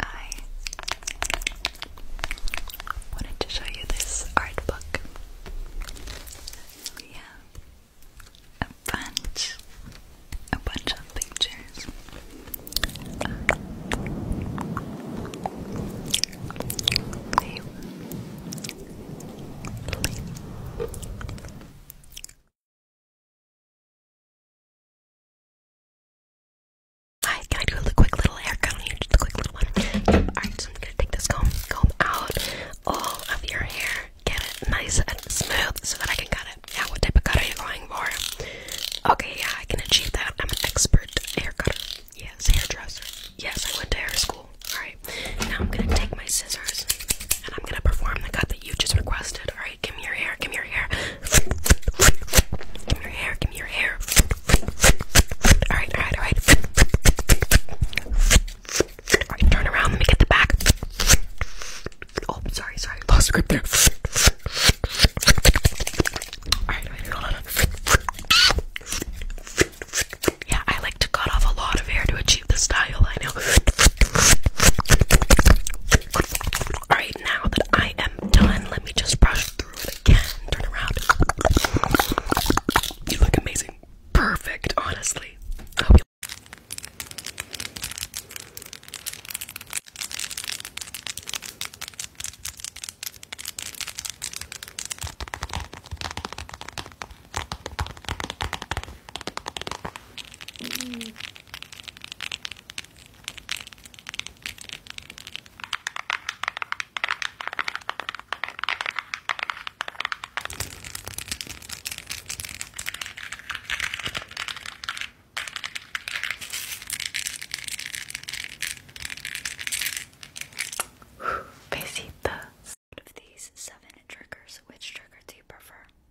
I wanted to show you this art book. We have a bunch, a bunch of pictures. Hi, can I do a quick little haircut on you? Just a quick little one. Alright, I'm gonna take this comb, comb out all of your hair, get it nice and smooth so that I can cut it. Yeah, what type of cut are you going for? Okay, yeah, I can achieve that. I'm an expert hair cutter. Yes, hairdresser. Yes, I went to hair school. Alright, now I'm gonna take my scissors and I'm gonna perform the cut what you just requested. All right, give me your hair. Give me your hair. Give me your hair. Give me your hair. All right, all right, all right. All right, turn around. Let me get the back. Oh, sorry, sorry. Lost the grip there. All right, all right, hold on. Yeah, I like to cut off a lot of hair to achieve the style. I know. Alright, now that I am done, let me just brush through it again. Turn around. You look amazing. Perfect, honestly. Besitos. Out of these seven triggers, which trigger do you prefer?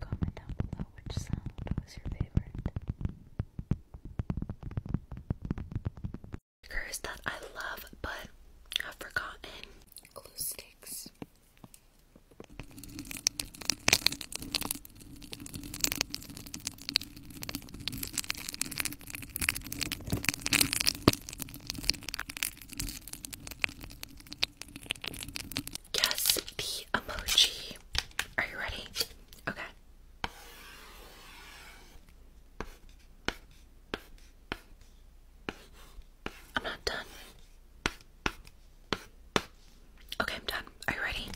Comment down below which sound was your favorite stickers that I love but have forgotten. Glue sticks. Guess the emoji. Are you ready? Okay. I'm not done. Okay, I'm done. Are you ready?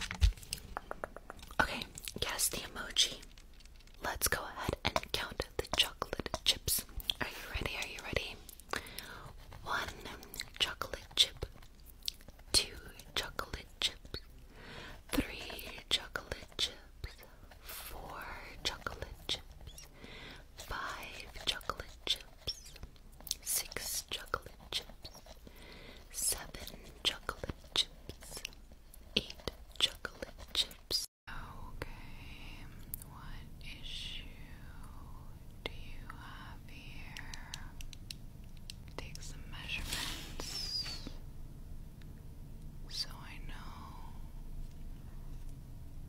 Okay, guess the emoji. Let's go ahead and count the chocolate chips. Are you ready? Are you ready? One chocolate chip, two chocolate chips, three chocolate chips, four chocolate chips, five chocolate chips, six chocolate chips, seven chocolate chips, eight chocolate chips. Okay, what issue do you have here? Take some measurements so I know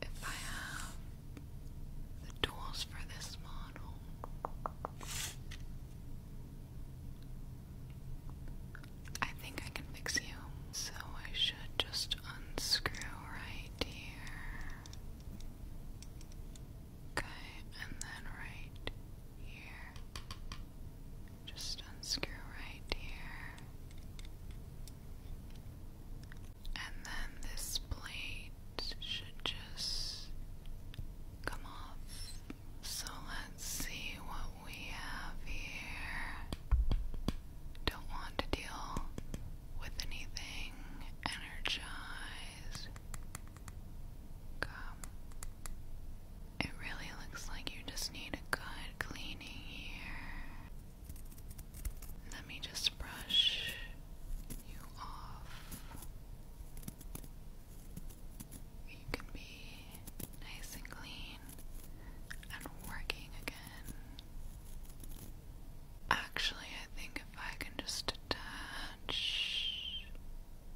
if I have the tools for this model. I think I can fix you. So I should just unscrew right here. Okay, and then right here. Just unscrew right here. And then this plate should just come off. So let's see what we have here. Don't want to deal with anything. Energize. Come. It really looks like you just need good cleaning here. Let me just brush you off. You can be nice and clean and working again. Actually, I think if I can just attach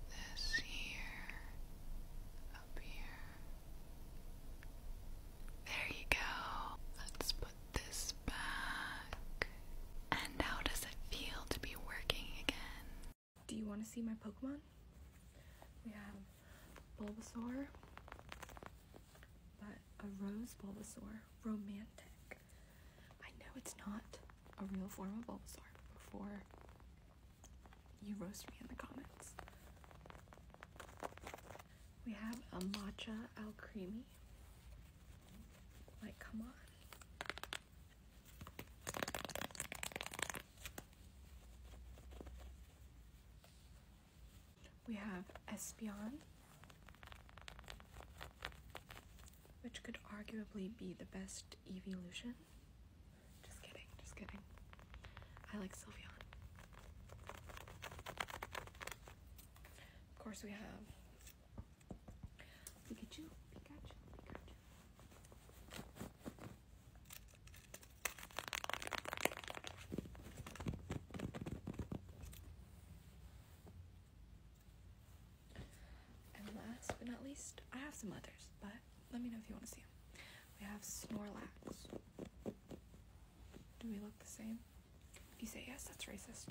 this here, there you go. Let's put this back. And how does it feel to be working again? Do you want to see my Pokemon? We have Bulbasaur, but a rose Bulbasaur, romantic. I know it's not a real form of Bulbasaur before you roast me in the comments. We have a matcha al creamy. Like, come on. We have Espion, which could arguably be the best evolution. Just kidding, just kidding. I like Sylvian. Of course, we have Pikachu, Pikachu, Pikachu. And last but not least, I have some others, but let me know if you want to see him. We have Snorlax. Do we look the same? If you say yes, that's racist.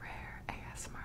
Rare ASMR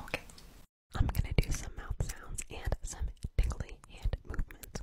Okay. I'm gonna do some mouth sounds and some tingly hand movements.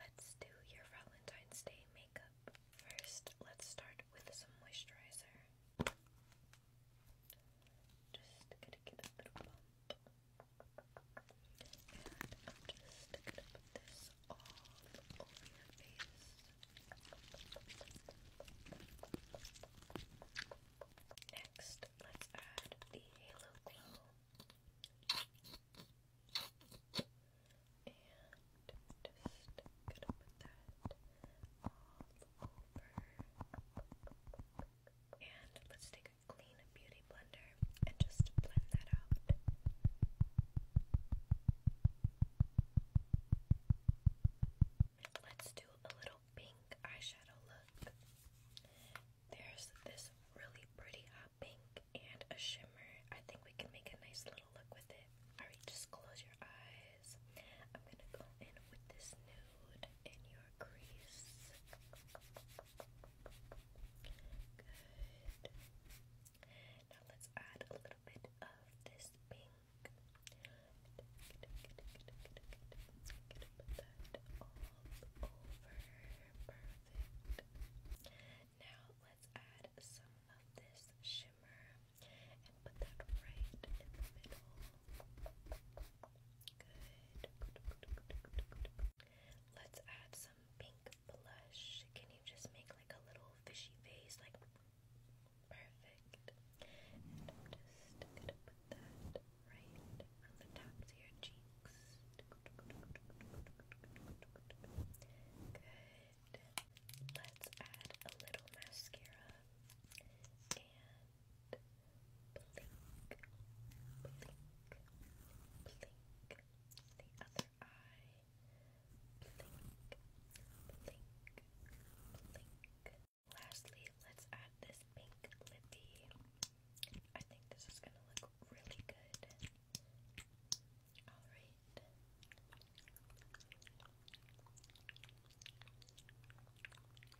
Let's do your Valentine's Day makeup. First, let's start with some moisturizer. Just gonna get a little I'm just sticking this all over your face. Next, let's add the Halo Glow. And just going that all over and let's take a clean beauty blender and just blend that out. Let's do a little pink eyeshadow look. There's this really pretty hot pink and a shimmer. I think we can make a nice little look with it. Alright, just close your eyes. I'm gonna go in with this new food in your crease. Good. Now let's add a little bit of this pink. Now let's add some of this shimmer and put that right in the middle. Good. Let's add some pink blush. Can you just make like a little fishy face? Like, perfect. And I'm just gonna put that right on the tops of your cheeks. Good. Let's add a little mascara blink, blink. Lastly, let's add this pink lippy. I think this is gonna look really good. Alright.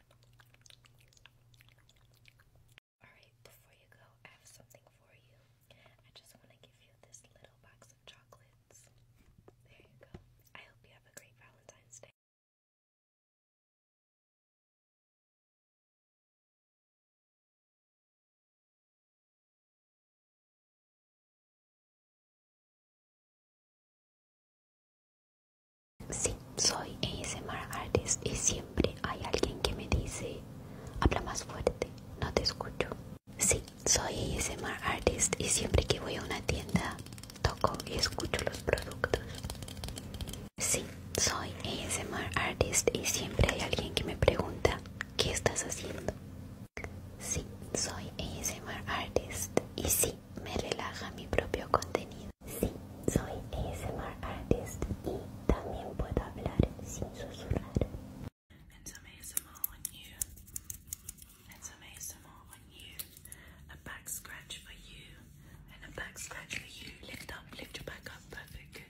Alright, before you go, I have something for you. I just want to give you this little box of chocolates. There you go. I hope you have a great Valentine's Day. Sí, soy ASMR Artist y siempre hay alguien que me dice, habla más fuerte, no te escucho. Sí, soy ASMR Artist y siempre que voy a una tienda toco y escucho los productos. Sí, soy ASMR Artist y siempre hay alguien que me pregunta, ¿qué estás haciendo? Sí, soy ASMR Artist y sí, que me relaja mi propio contenido. Sí, soy ASMR artist y también puedo hablar sin susurrar. And some ASMR you. And some ASMR you. A back scratch for you. And a back scratch for you. Lift up, lift your back up. Perfect.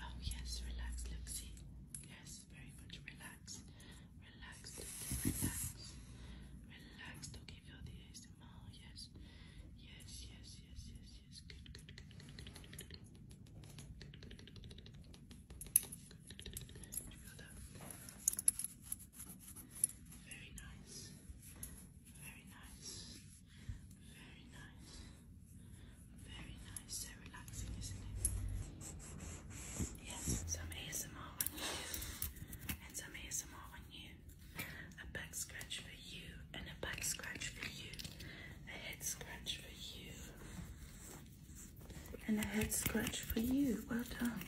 Oh yes, relax. Look, Yes, very much relaxed relax, relaxed, relaxed. Okay, feel the ASMR. Yes, yes, yes, yes, yes, yes. Good, good, good, good, good, good, good, good, good, good, good, good, good. You feel that? Very nice. Very nice. Very nice. Very nice. So relaxing, isn't it? Yes, some ASMR and some ASMR you, a back scratch for you, and a back scratch for you, a head scratch for you, and a head scratch for you. Well done.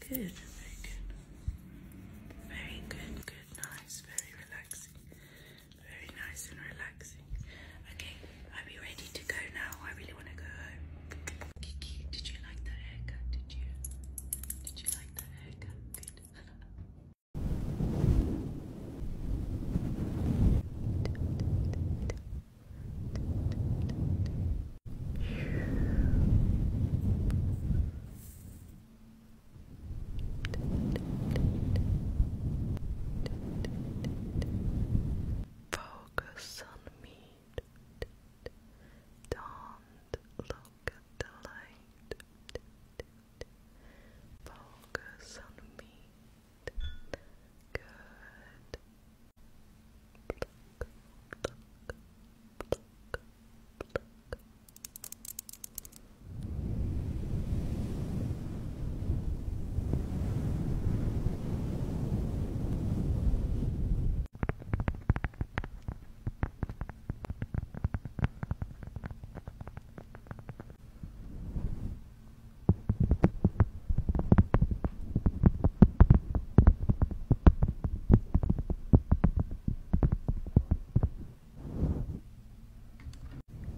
Good, very good. Very good, good, nice, very relaxing. Very nice and relaxing. Okay, are we ready to go now? I really want to go home. Kiki, did you like the haircut? Did you? Did you like the haircut? Good. Focus on me. Don't look at the light. Focus on me. Good.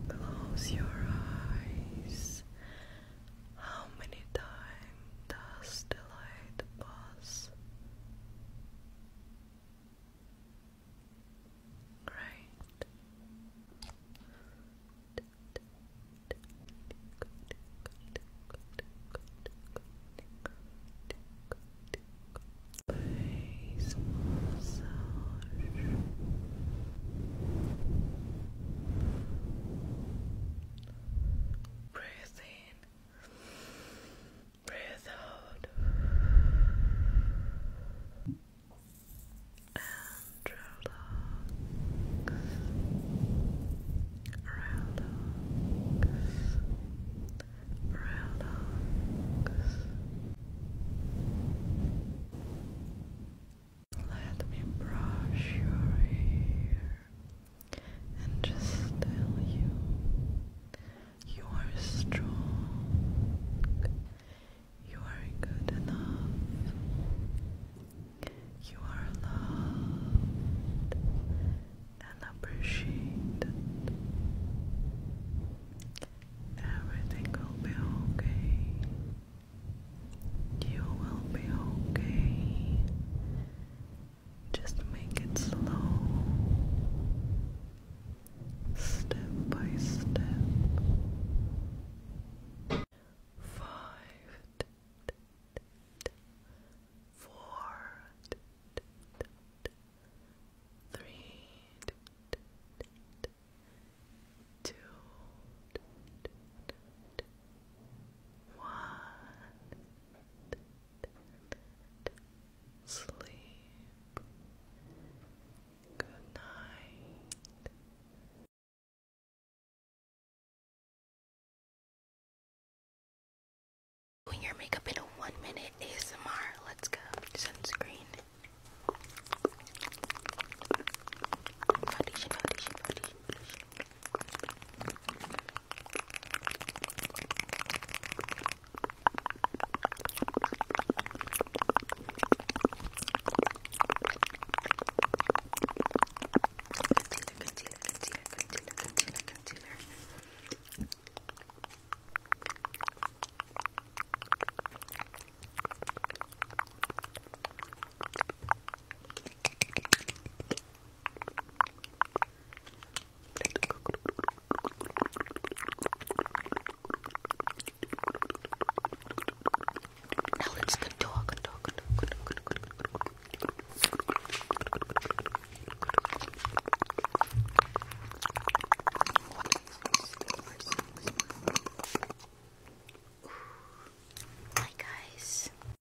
Close your eyes. How many times? does delay the bus. Great. Face massage. Breathe Breathe out relax, relax, relax. Let me brush your hair and just tell you you are strong, you are good enough, you are loved and appreciated. Everything will be okay. You will be okay. Just make it slow, step by step. Five, four, three, two, one. Sleep. Good night. Doing your makeup in a one minute ASMR. Let's go. Sunscreen. Foundation, foundation, foundation. Concealer, concealer, concealer, concealer, concealer. Now let's the dog, dog, dog, dog, dog. Hi guys.